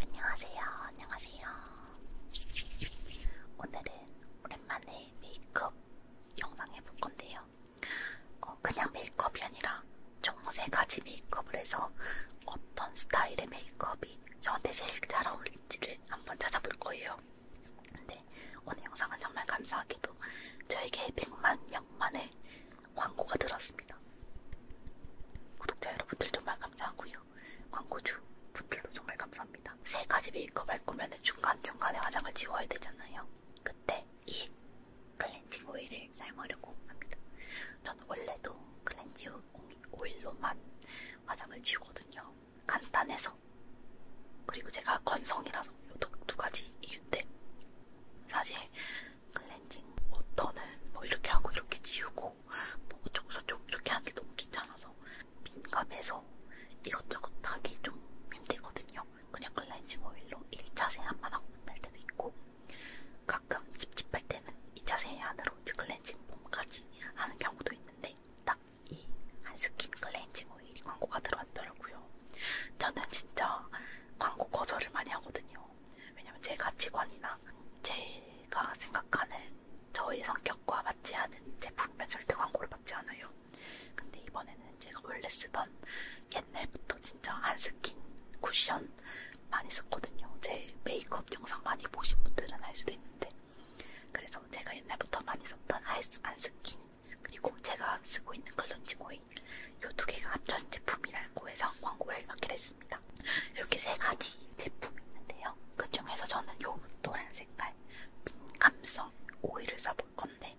안녕하세요. 안녕하세요. 오늘은 오랜만에 메이크업 영상 해볼 건데요. 어, 그냥 메이크업이 아니라 총세 가지 메이크업을 해서 어떤 스타일의 메이크업이 저한테 제일 잘 어울릴지를 한번 찾아볼 거예요. 근데 오늘 영상은 정말 감사하게도 저에게 100만 영만을 광고가 들었습니다. 구독자 여러분들 정말 감사하고요. 광고주 분들도 정말 감사합니다. 세 가지 메이크업 할 거면 중간중간에 화장을 지워야 되잖아요. 그때 이 클렌징 오일을 사용하려고 합니다. 저는 원래도 클렌징 오일로만 화장을 지우거든요. 간단해서. 그리고 제가 건성이라서 이두 가지 이유인데 사실 클렌징 워터는 뭐 이렇게 하고 이렇게 지우고 뭐 어쩌고저쩌고 이렇게 하기 너무 귀찮아서 민감해서 이것저것 하기 좀 힘들거든요. 그냥 클렌징 오일로 1차 세안만 하고 끝날 때도 있고 가끔 찝찝할 때는 2차 세안으로 클렌징 폼까지 하는 경우도 있는데 딱 이 한스킨 클렌징 오일 광고가 들어왔더라고요. 저는 진짜 광고 거절을 많이 하거든요. 같아요. 왜냐면 제 가치관이나 제가 생각하는 저의 성격과 맞지 않은 제품이면 절대 광고를 받지 않아요. 근데 이번에는 제가 원래 쓰던 옛날부터 진짜 안 스킨 쿠션 많이 썼거든요. 제 메이크업 영상 많이 보신 분들은 알 수도 있는데 그래서 제가 옛날부터 많이 썼던 안 스킨 그리고 제가 쓰고 있는 글런지 오일 이두 개가 합쳐진 제품이라고 해서 광고를 맡게 됐어요. 있습니다. 이렇게 세 가지 제품이 있는데요. 그 중에서 저는 요 노란 색깔 민감성 오일을 써볼 건데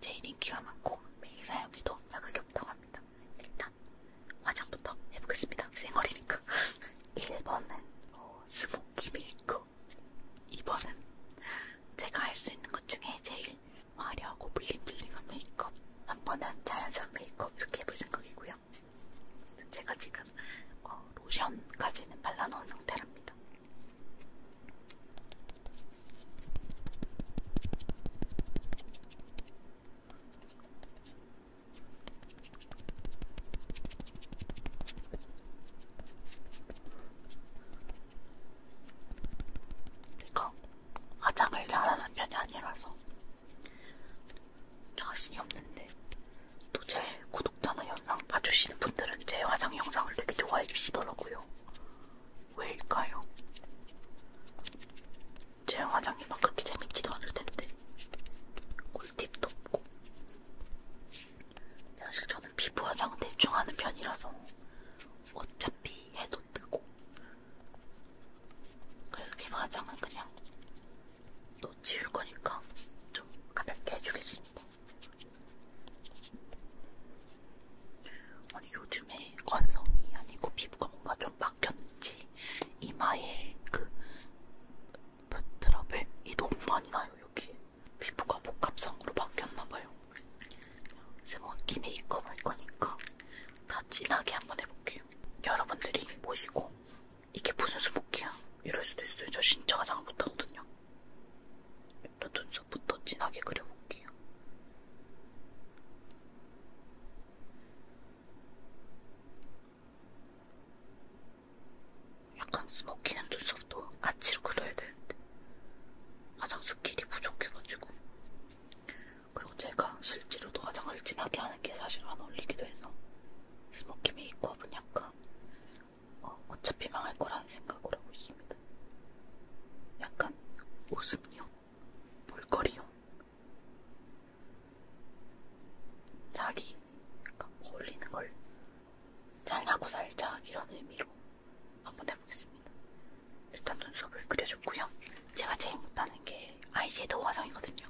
제일 인기가 많고 매일 사용해도 자극이 없다고 합니다. 일단 화장부터 해보겠습니다. 생얼이니까 1번은 어, 스모키 밀크 2번은 제가 할 수 있는 것 중에 제일 화려하고 블링블링한 메이크업 한 번은 자연산 메이크업 이렇게 해보신 거이고요. 제가 지금 어, 로션까지는 발라놓은 상태랍니다. 이거 화장을 잘하는 편이 아니라서 자신이 없는데 또 제 구독자나 영상 봐주시는 분들은 제 화장 영상을 되게 좋아해 주시더라고요. 왜일까요? 제 화장이 막 그렇게 재밌지도 않을 텐데 꿀팁도 없고 사실 저는 피부 화장은 대충 하는 편이라서 어차피 해도 또 뜨고. 그래서 피부 화장은 그냥 또 지울 거니까 좀 가볍게 해주겠습니다. 아니 요즘에 건성이 아니고 피부가 뭔가 좀 막혔는지 이마에 그 트러블이 너무 많이 나요 여기 피부가 복합성으로 바뀌었나봐요. 스모키 메이크업 할 거니까 다 진하게 한번 해볼게요. 여러분들이 보시고 이게 무슨 수목이야 이럴 수도 있어요. 저 진짜 화장을 못하거든요. 일단 눈썹부터 진하게 그려볼게요. 약간 스모키는 눈썹도 아치로 그려야 되는데 화장 스킬이 부족해가지고 그리고 제가 실제로도 화장을 진하게 하는 게 사실 안 어울리기도 해서 스모키 메이크업은 약간 어, 어차피 망할 거라는 생각을 하고 있습니다. 약간 웃음용, 볼거리용, 자기 그러니까 어울리는 뭐 걸 잘하고 살자 이런 의미로 한번 해보겠습니다. 일단 눈썹을 그려줬고요. 제가 제일 못하는 게 아이섀도우 화장이거든요.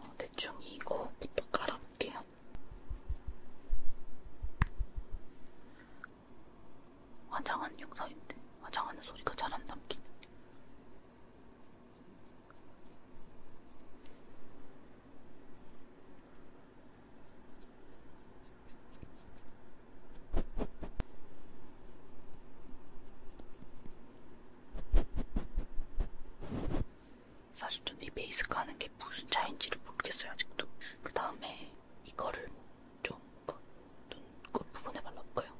어, 대충 이거부터 깔아볼게요. 화장한 영상인데 화장하는 소리가 잘안 담긴. 사실 좀 이 베이스가 하는 게 무슨 차인지를 모르겠어요 아직도. 그 다음에 이거를 좀 그 눈꽃 그 부분에 발라볼까요?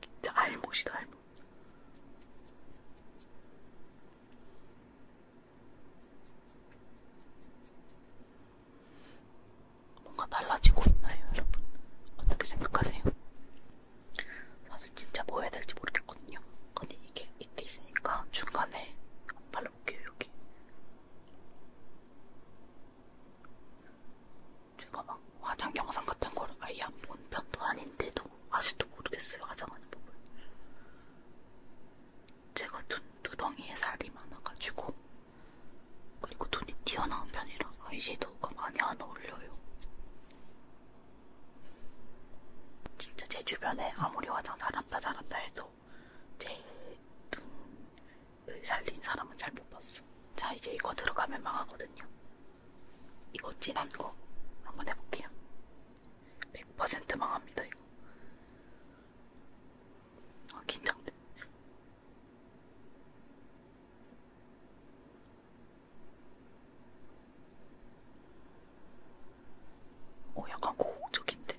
진짜 알못이다 알못. 뭔가 달라지고 있나요, 여러분? 어떻게 생각하세요? 사실 진짜 뭐 해야 될지 모르겠거든요. 근데 이게 이렇게 있으니까 중간에 발라볼게요 여기. 제가 막 화장 영상 같은 걸 아예 안 본 편도 아닌데도 아직도 모르겠어요 화장하는 법을. 제가 눈 두덩이에 살이 많아가지고 그리고 눈이 튀어나온 편이라 아이섀도우가 많이 안 어울려요. 진짜 제 주변에 아무리 화장 잘한다 잘한다 해도 제 눈을 살린 사람은 잘 못 봤어. 자 이제 이거 들어가면 망하거든요. 이거 진한 거 한번 해볼게요. 100% 망합니다 이거. 아 긴장돼. 어, 약간 고혹적인데?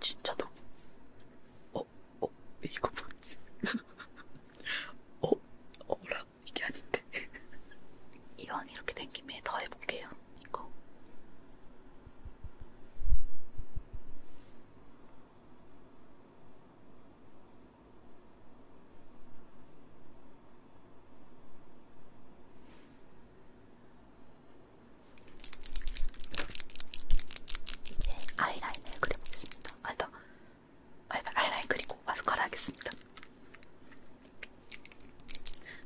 진짜도? 어, 어, 이거 뭐지? 어, 어라? 있어요. 이게 아닌데. 이왕 이렇게 된 김에 더 해볼게요. 이거. 이제 아이라인을 그려보겠습니다. 아, 나 아이라인 그리고 마스카라 하겠습니다.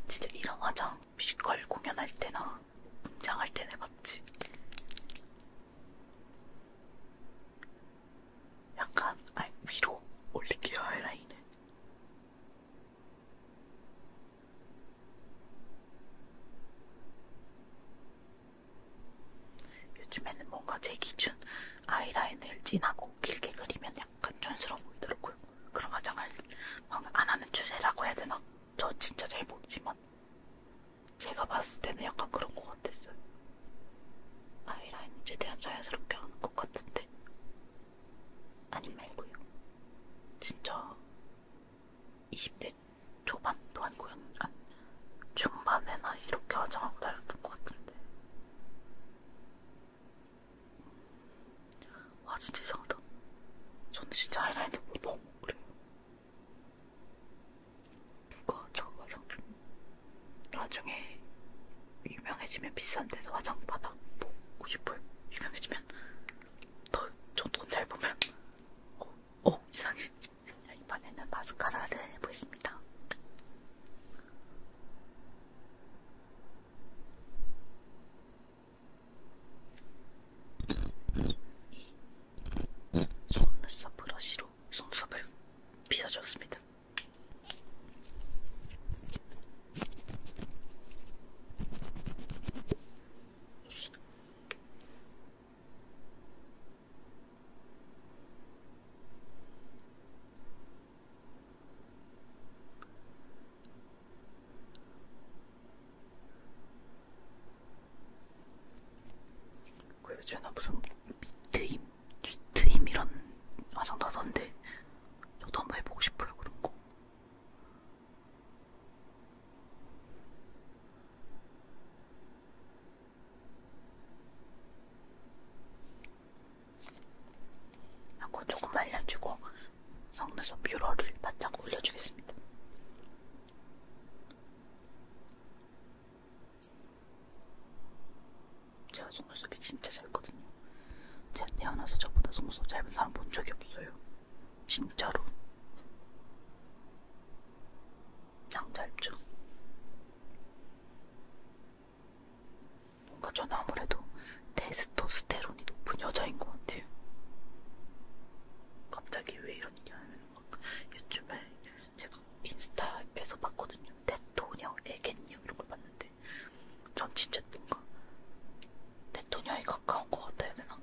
진짜 이런 화장 뮤지컬 공연할 때나 등장할 때나 해봤지. 약간 아 위로 올릴게요 아이라인을. 요즘에는 뭔가 제 기준 아이라인을 진하고 길게 그리면 약간 촌스러워 보이더라고요. 그런 화장을 안 하는 추세라고 해야 되나? 저 진짜 잘 모르지만 제가 봤을 때는 약간 그런 것 같았어요. 아이라인 최대한 자연스럽게 하는 것 같은데 아님 말고요. 진짜 20대 초반도 아니고 한 중반에나 이렇게 화장하고 다녔던 것 같은데 와 진짜 이상하다. 저는 진짜 하이라이트 뭐 너무 그래요. 누가 저 화장품 나중에 유명해지면 비싼데도 화장품 바닥 보고 싶어요. 유명해지면 더저돈잘 보면 어, 어 이상해. 이번에는 마스카라를 해보겠습니다. 이 속눈썹 브러쉬로 속눈썹을 빗어줬습니다. 그 예전에 무슨 밑트임, 뒤트임 이런 화장 나던데 저도 한번 해보고 싶어요 그런 거. 하고 조금 말려주고 속눈썹 뷰러를 바짝 올려주겠습니다. 제가 속눈썹이 진짜 짧거든요. 제가 태어나서 저보다 속눈썹 짧은 사람 본 적이 없어요. 진짜로. 짱 짧죠? 뭔가 저는 아무래도 테스토스테론이 높은 여자인 것 같아요. 갑자기 왜 이런 얘기 하냐면 요즘에 제가 인스타에서 봤거든요. 테토녀, 애견녀 이런 걸 봤는데 전 진짜 뭔가 테토녀에 가까운 것 같다 해야 되나?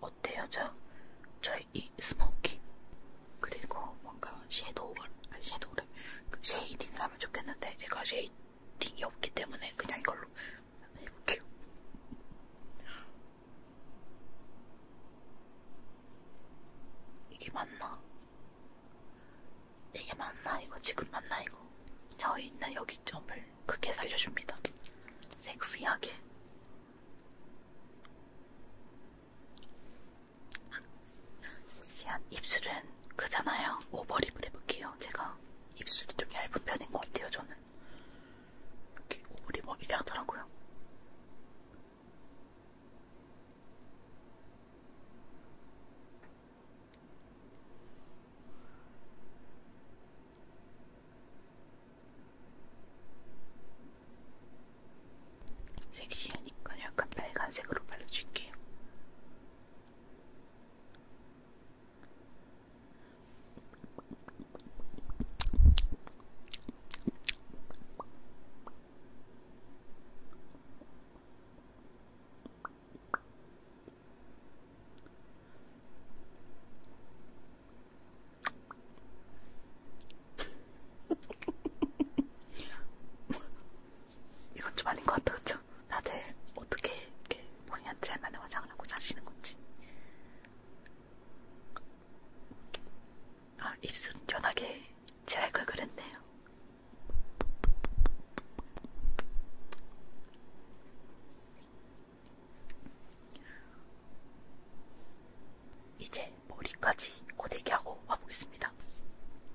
어때요, 저? 저이 스모키 그리고 뭔가 섀도우를 아니 섀도우를 그 쉐이딩을 하면 좋겠는데 제가 쉐이딩이 없기 때문에 그냥 이걸로 해볼게요. 이게 맞나? 이게 맞나 이거 지금 맞나 이거 저희는 여기 점을 크게 살려줍니다. 섹시하게 시한 입술은 크잖아요. 오버립을 해볼게요. 제가 입술이 좀 얇은 편인 것 같아요. 저는 이렇게 오버립 먹이게 하더라고요. 섹시하니까 약간 빨간색으로 발라줄게요. 이건 좀 아닌 것 같다, 그쵸? 다들 어떻게 이렇게 본인한테 잘 맞는 화장을 하고 사시는 건지. 아, 입술은 연하게 칠할 걸 그랬네요. 이제 머리까지 고데기하고 와보겠습니다.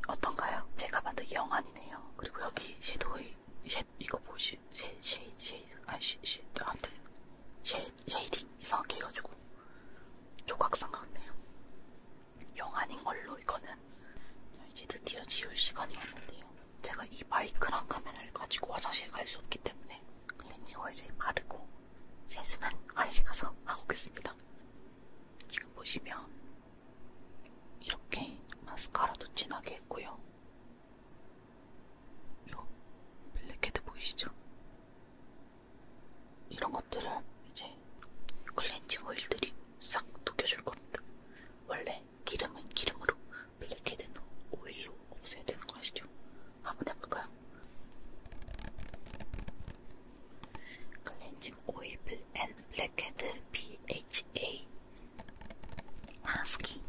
어떤가요? 제가 만든 영안이네요. 그리고 여기 섀도우의 쉐, 이거 보이시? 쉐, 쉐, 쉐, 아, 쉐, 쉐, 아무튼 쉐, 쉐이딩 이상하게 해가지고 조각상 같네요. 영안인 걸로 이거는 자, 이제 드디어 지울 시간이 왔는데요. 제가 이 마이크랑 카메라를 가지고 화장실 갈 수 없기 때문에 클렌징 오일을 바르고 세수는 화장실 가서 하고 오겠습니다. 지금 보시면 이렇게 마스카라도 진하게 했고요. 요 블랙헤드 보이시죠? 이런 것들을 이제 때문에 클렌징 오일들이 싹 녹여줄 겁니다. 원래 기름은 기름으로, 블랙헤드는 오일로 없애야 되는 거 아시죠? 한번 해볼까요? 클렌징 오일 앤 블랙헤드 BHA 하스키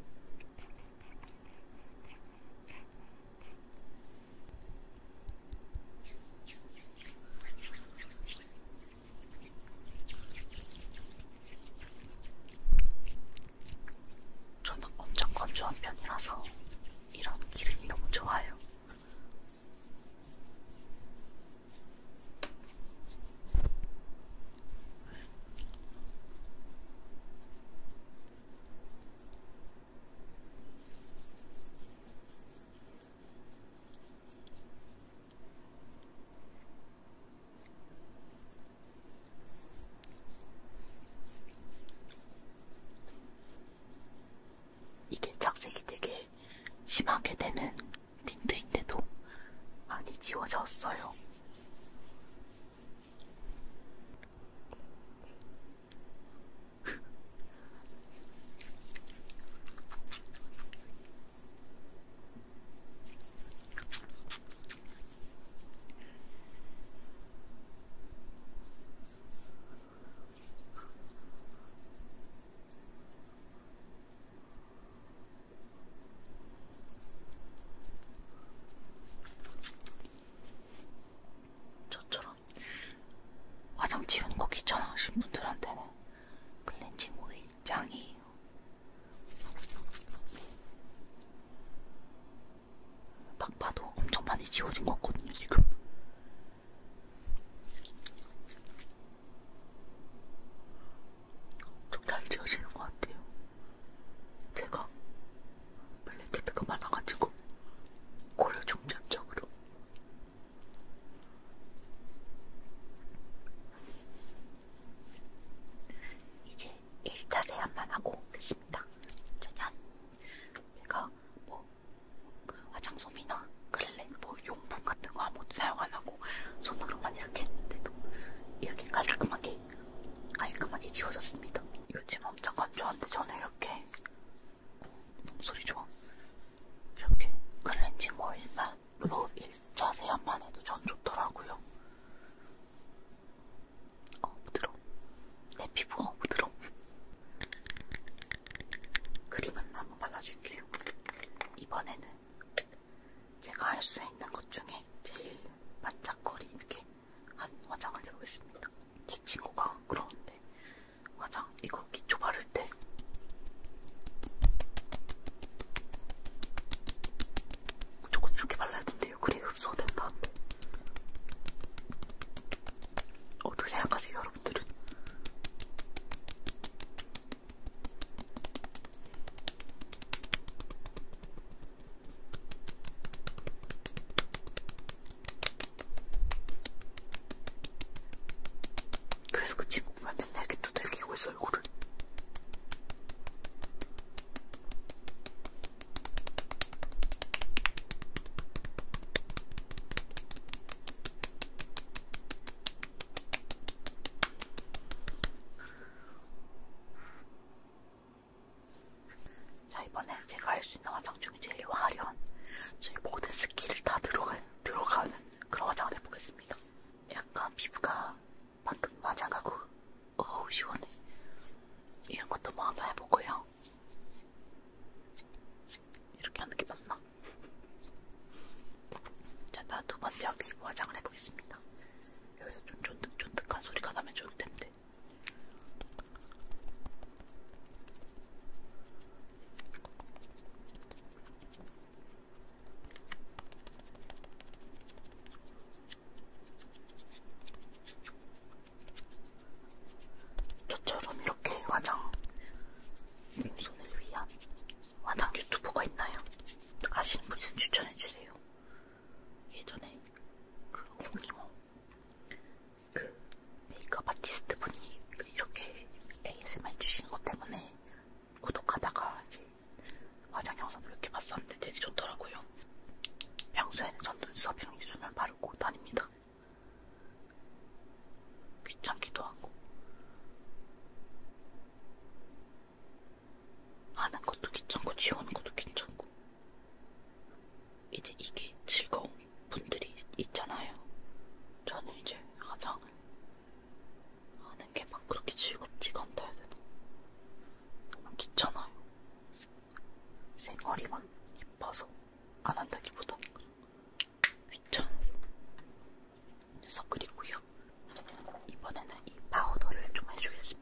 저는 엄청 건조한 편이라서 이런 기름이 너무 좋아요. 이게 착색이 되게 심하게 되는 틴트인데도 많이 지워졌어요. 저처럼 화장 지우는 거 귀찮아하신 분들한테는 클렌징 오일 짱이에요. 딱 봐도 엄청 많이 지워진 것 같거든요, 지금. 좀 잘 지워지는 것 같아요. 제가 블랙헤드가 많아가지고 고려 중점적으로 이제 1차 세안만 하고 오겠습니다. 짜잔! 제가 뭐, 그 화장솜이나 클렌, 뭐 용품 같은 거 아무것도 사용 안 하고 손으로만 이렇게 했는데도 이렇게 깔끔하게, 깔끔하게 지워졌습니다. 요즘 엄청 건조한데 저는 이렇게, 너무 어, 소리 좋아. 이렇게 클렌징 오일만 뭐 1차 세안만 해도 전 좋더라고요. 어, 부드러워. 내 피부 어, 부드러워. 크림은 한번 발라줄게요. 이번에는 제가 할 수 있는 것 중에 제일 반짝거리게 한 화장을 해보겠습니다. 제 친구가 그러는데 화장 이거 기초 바를 때 같아. 무조건 이렇게 발라야 된대요. 그래야 흡수가 된다는데. 어, 어떻게 생각하세요, 여러분들은? 그래서 그 친구만 맨날 이렇게 두들기고 있어 있어 이거를. 자 이번엔 제가 할 수 있는 화장 중에 제일 화려한 제 모든 스킬을 다 들어간, 들어가는 그런 화장을 해보겠습니다. 약간 피부가 방금 맞아가고 어우 시원해. 이런 것도 뭐 한번 해보고요. 이렇게 하는 게 맞나? 자, 나 두 번째 피부 화장을 해보겠습니다. 여기서 좀 쫀득쫀득한 소리가 나면 좋을 텐데. 저처럼 이렇게 화장 손을 위한 화장 유튜버가 있나요? 아시는 분 있으면 추천해주세요. 예전에 그 홍이모 그 메이크업 아티스트 분이 그 이렇게 ASMR 주시는 것 때문에 구독하다가 이제 화장 영상을 몇개 봤었는데 되게 좋더라고요. 평소에는 전 눈썹 양지를만 바르고 다닙니다. 귀찮기도 하고 하는 것도 귀찮고 지우는 것도 귀찮고 이제 이게 즐거운 분들이 있잖아요. 저는 이제 화장을 하는 게 막 그렇게 즐겁지가 않다 해야 되나? 너무 귀찮아요. 생얼이만 이뻐서 안 한다기보다 귀찮아서. 그래서 그리고요. 이번에는 이 파우더를 좀 해주겠습니다.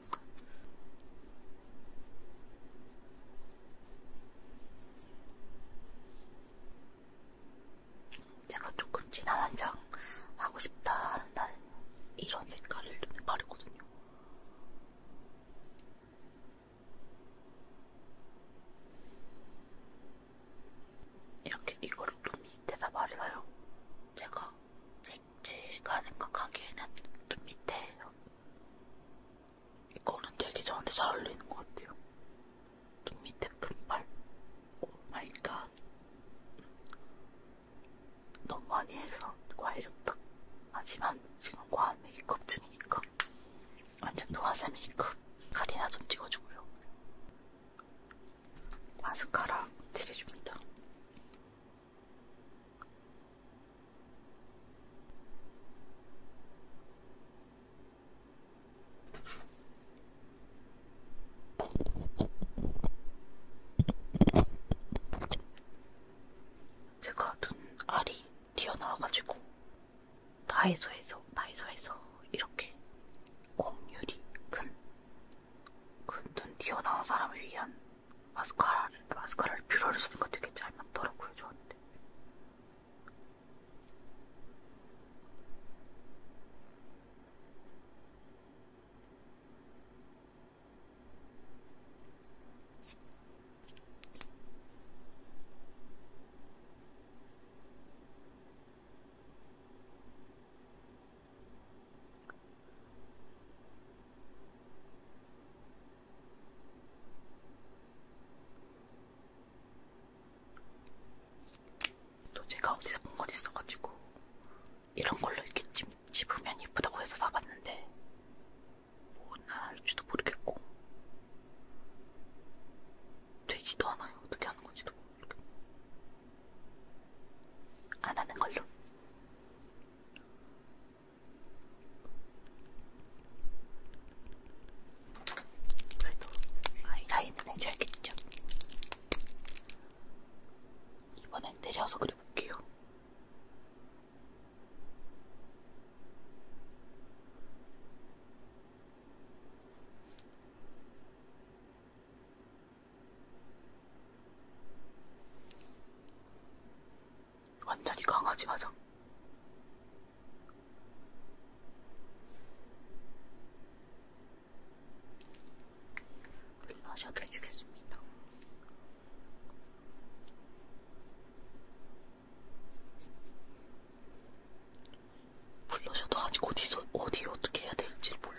제가 조금 진한 한장 하고 싶다 하는 날 이런 색깔을 눈에 바르거든요. 이렇게 이거를 눈 밑에다 발라요. 제가 제, 제가 생각하기에는 눈 밑에 이거는 되게 저한테 잘 어울리는 것 같아요. 눈 밑에 금발 오 마이 갓. 너무 많이 해서 과해졌다. 하지만 지금 과한 메이크업 중이니까 완전 노화사 메이크업. 칼이나 좀 찍어주고요. 마스카라 칠해줍니다. 제가 눈 알이 튀어나와가지고 다이소에서 다이소에서 이렇게 공률이 큰그눈 튀어나온 사람을 위한 마스카라를 마스카라를 뷰러를 쓰는 거 되게 잘 맞더라고요 저한테. 또 제가 어디서 본건 있어가지고 이런 걸로 이렇게 집으면 예쁘다고 해서 사봤는데 뭐나 할지도 모르겠고 되지도 않아요. 어떻게 하는 건지도 모르겠고 안 하는 걸로. 그래도 아이라인은 해줘야겠죠. 이번엔 내려서 그려볼게요. 완전히 강아지 맞아. 블러셔도 해주겠습니다. 블러셔도 아직 어디서 어디 어떻게 해야 될지 몰라.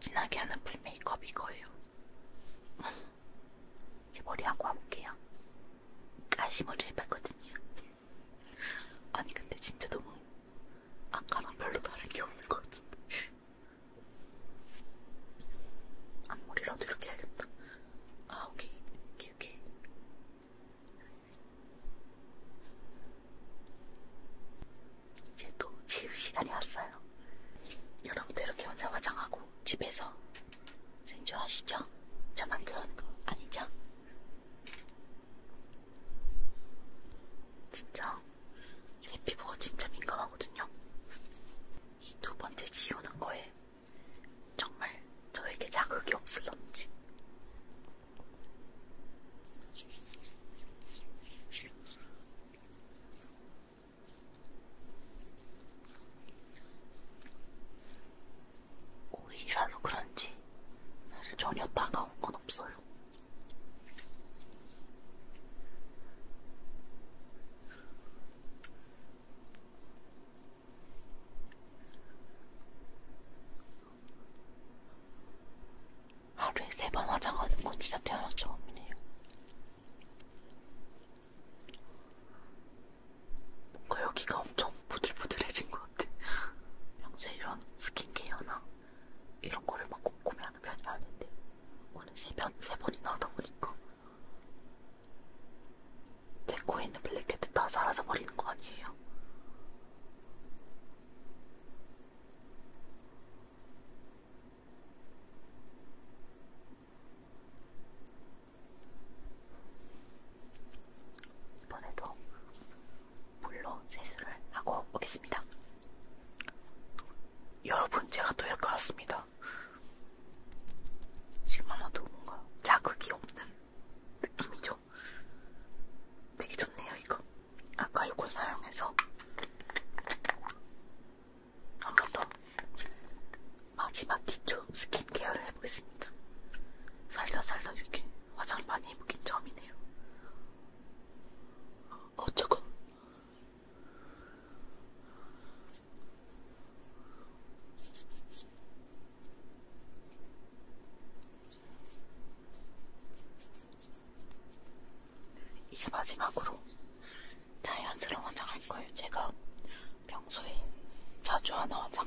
진하게 하는 풀메이크업 이거예요. 제 머리 하고 와볼게요. 가시머리를 뺐거든요. 아니 근데 진짜 너무 아까랑 별로 다른 게 없는 것 같은데 앞머리라도 이렇게 해야겠다 아 오케이 오케이 오케이 이제 또 지울 시간이 왔어요 여러분도 이렇게 혼자 화장하고 집에서 생주 하시죠? 저만 그러는 거 아니죠? 진짜 제 피부가 진짜 민감하거든요. 이 두 번째 지우는 거에 정말 저에게 자극이 없을런지. 오이라서 그런지 사실 전혀 따가운 건 없어요. 하루에 세 번 화장하는 거 진짜 태어나 처음이네요. 뭔가 여기가 엄청 부들부들해진 것 같아. 평소에 이런 스킨케어나 이런 거를 막 꼼꼼히 하는 편이 아닌데 오늘 세, 번, 세 번이나 하다 보니까 제 코에 있는 블랙헤드 다 사라져 버리는 거 아니에요? 이번에도 물로 세수를 하고 오겠습니다. 여러분, 제가 또 이렇게 왔습니다. 지금 하나도 뭔가 자극이 없는 느낌이죠? 되게 좋네요, 이거. 아까 이거 사용해서 한번 더 마지막 기초 스킨케어를 해보겠습니다. 살다 살다 이렇게 화장을 많이 해보긴 처음이네요. 어, 조금. 이제 마지막으로 자연스러운 화장 할 거예요. 제가 평소에 자주 하는 화장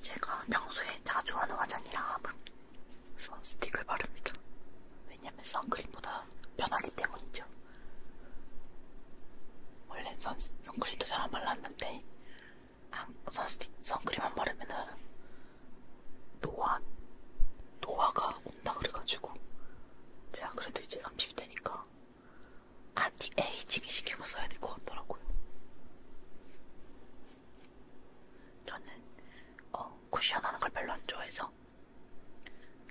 제가 평소에 자주 하는 화장이라 선스틱을 바릅니다. 왜냐면 선크림보다 편하기 때문이죠. 원래 선, 선크림도 잘 안 발랐는데 선스틱, 선크림만 바르면은 노화, 노화가 온다 그래가지고 제가 그래도 이제 30대니까 안티에이징이 신경을 써야 될 것 같더라고요. 저는 어, 쿠션하는 걸 별로 안 좋아해서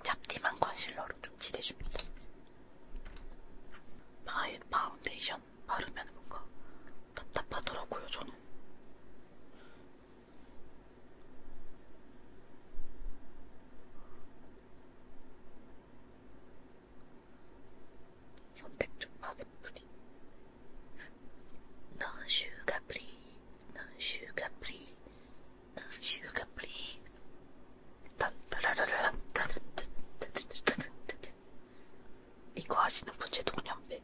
잡티만 컨실러로 좀 칠해줍니다. 파이, 파운데이션 바르면 뭔가 답답하더라고요, 저는. 선택적 파데프리 non sugar free non sugar free 슈가프리 딴따라라라 이거 하시는 분제 동년배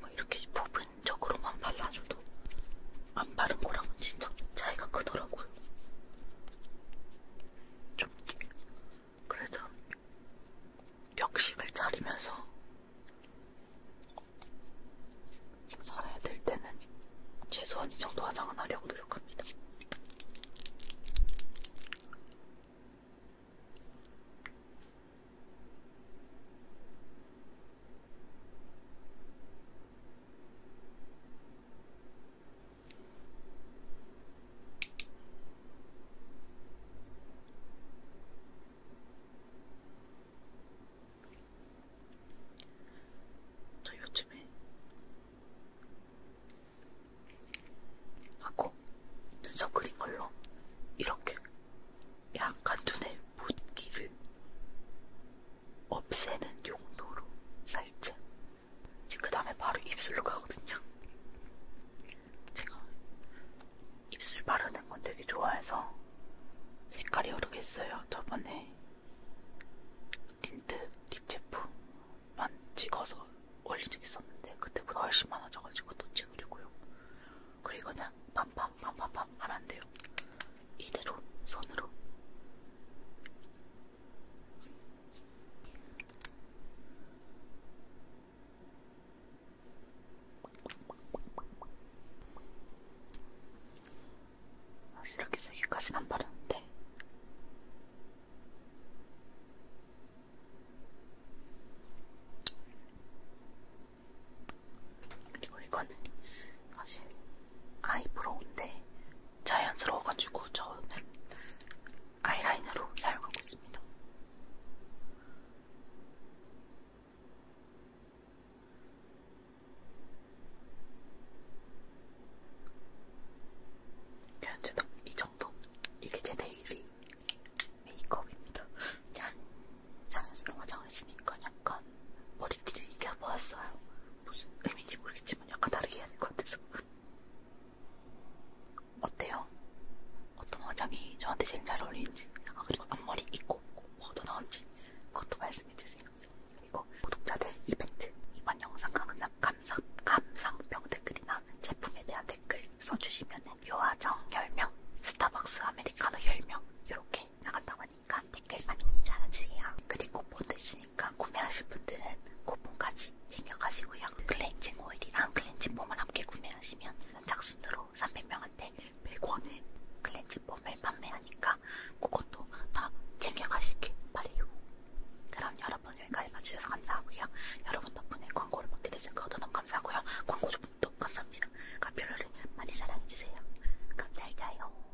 뭐 이렇게 부분적으로만 발라줘도 안 바른 거랑은 진짜 차이가 크더라고요. 좀 그래도 역식을 차리면서 살아야 될 때는 최소한 이 정도 화장은 하려고 노력합니다. 저 요즘에 하고 눈썹 그린 걸로 이렇게 약간 눈에 붓기를 없애는 용도로 살짝 이제 그 다음에 바로 입술로 가거든요. 제가 입술 바르는 건 되게 좋아해서 색깔이 여러 개 있어요. 저번에 틴트 립 제품만 찍어서 올린 적 있었는데 그때보다 훨씬 많아져가지고 또 찍으려고요. 그리고 그냥 빰빰빰빰빰 하면 돼요. 이대로 손으로 이렇게 세 개까지는 안 바르는데. 그리고 이거는 사실 아이브로우인데 자연스러워가지고 저는 아이라인으로 사용하고 있습니다. 괜찮다. 이 정도? 이게 제 데일리 메이크업입니다. 짠! 자연스러운 화장을 쓰니까 약간 머리띠를 이겨보았어요. 무슨 의미인지 모르겠지만. 느낌은 약간 다르게 해야 될 것 같아서. 어때요? 어떤 화장이 저한테 제일 잘 어울리는지, 아, 그리고 앞머리 있고 없고 뭐가 더 나은지 그것도 말씀해주세요. 그리고 구독자들 이벤트, 이번 영상 강남 감상, 감상평 댓글이나 제품에 대한 댓글 써주시면 요아정 10명, 스타벅스 아메리카노 10명 이렇게 나간다고 하니까 댓글 많이 달아주세요. 그리고 뭐든지 있으니까 그러니까 구매하실 분들은 쿠폰까지 챙겨가시고요. 클렌징 오일이랑 아, 클렌징 폼을 함께 구매하시면 작순으로 300명한테 100원에 클렌징 폼을 판매하니까 그것도 다 챙겨가시길 바래요. 그럼 여러분 여기까지 봐주셔서 감사하고요. 여러분 덕분에 광고를 받게 되신 것도 너무 감사하고요. 광고주분도 감사합니다. 카피로를 많이 사랑해주세요. 감사합니다요.